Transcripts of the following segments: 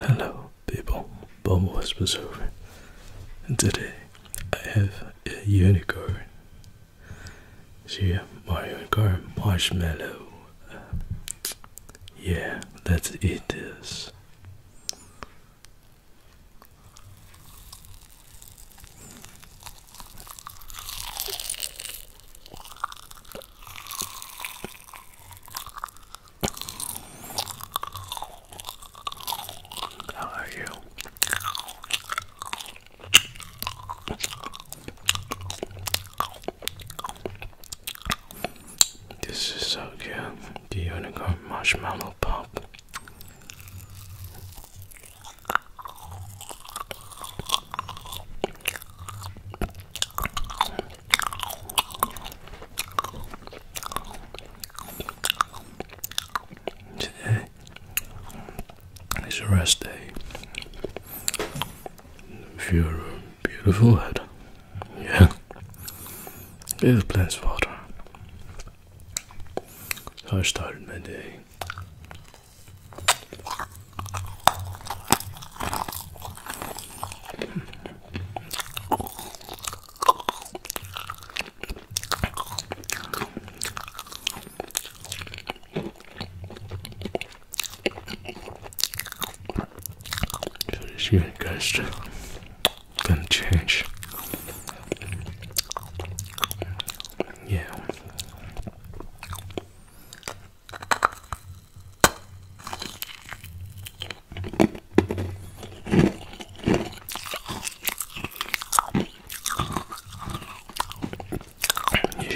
Hello people, Bubble Whispers over and today I have a unicorn. See my unicorn marshmallow. yeah, let's eat this. How are you? This is so cute. Do you wanna go marshmallow pop. Today is a rest day. If you're a beautiful head, yeah, give plants for So I started my day. So this gonna change. Yeah. It's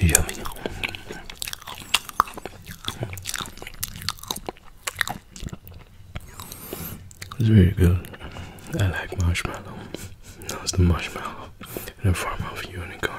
yummy. It's very good. I like marshmallow. Now it's the marshmallow in the form of a unicorn.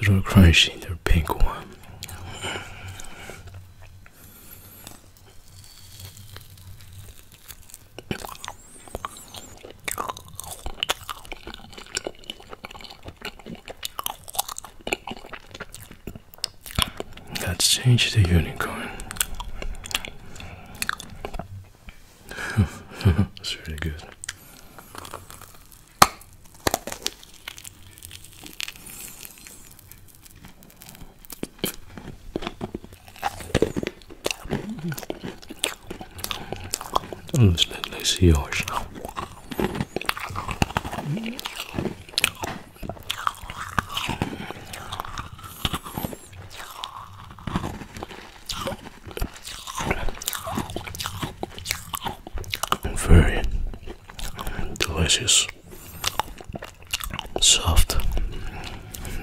It's real crunchy, the pink one. Let's change the unicorn. That's really good. Mm-hmm. Mm, let's, let, us let let see yours now very delicious, soft,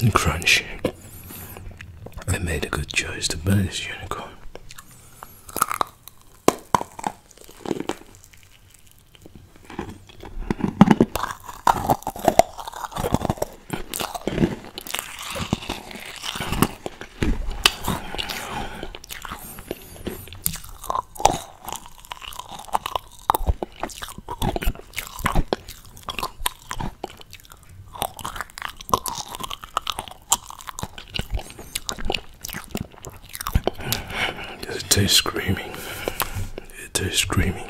and crunchy. I made a good choice to buy this unicorn. Does it taste screaming? It tastes screaming.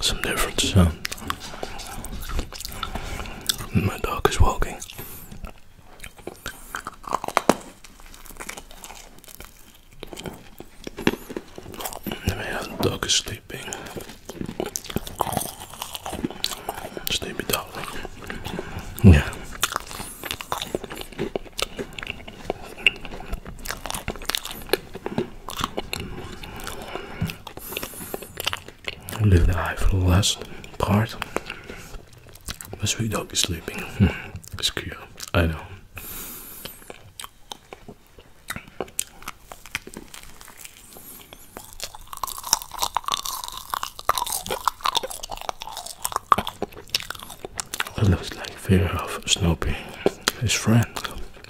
some difference. sound. My dog is walking. My dog is sleeping. Sleepy dog. Yeah leave the eye for the last part. My sweet dog is sleeping. Hmm. it's cute. I know. It looks like fear of Snoopy, his friend.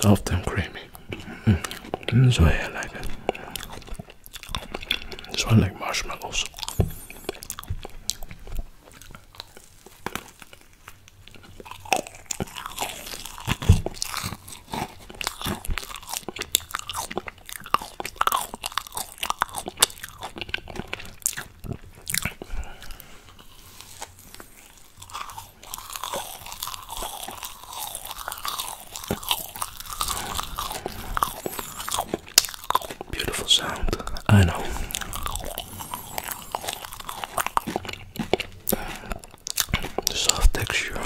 soft and creamy. Mm -hmm. I like it. This one like marshmallows. Beautiful sound, I know. soft texture.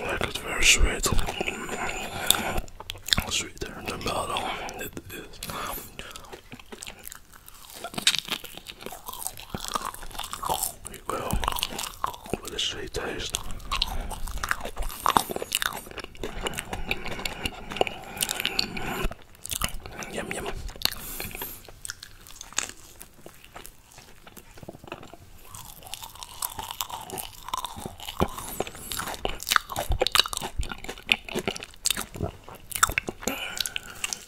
Like it's very sweet, sweeter than bottle. It is we go with a sweet taste. Yum yum.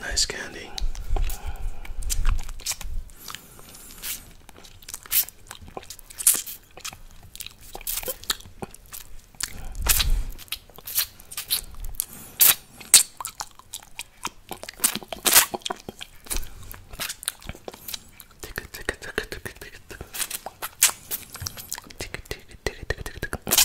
Nice candy. Tick it, tick it, tick it, tick it, tick it, tick it,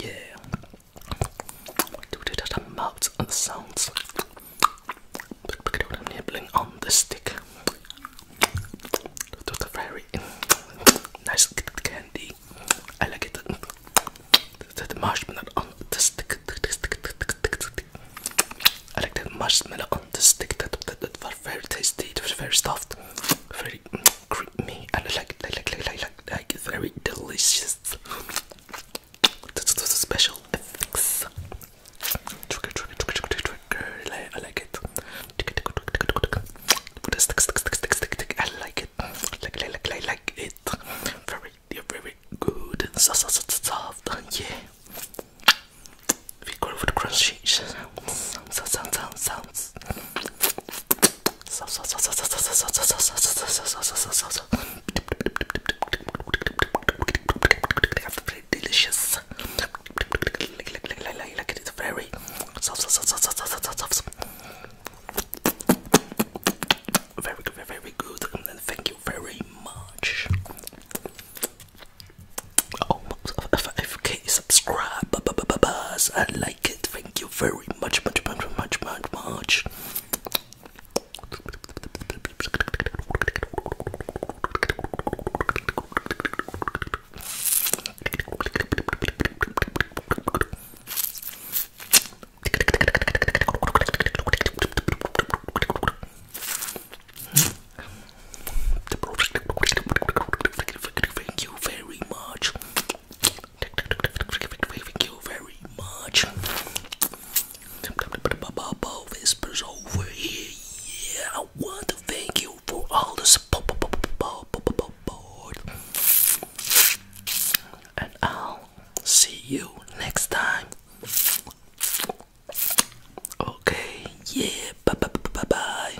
Yeah. That mouth and sounds. Look at what I'm nibbling on the stick. That's a very nice candy. I like it. The, marshmallow on the stick. I like the marshmallow on the stick. That was very tasty. It was very soft, very creamy, I like it, I like I like like very delicious. That's, that's special Trigger, trigger, trigger, trigger, trigger. I like it. I like it. Like, like, like, like, like it. Very, very good and soft. Yeah. We go with crunchy sounds, sounds, sounds, sounds. Delicious very very very good, and thank you very much. Oh, 5k subscribe, buzz, I like it. Thank you very much, much, much, much, much. Thank you very much. Thank you very much. Bob is over here. Yeah, I want to thank you for all the support and I'll see you next time. Okay, yeah, bye bye bye bye. bye.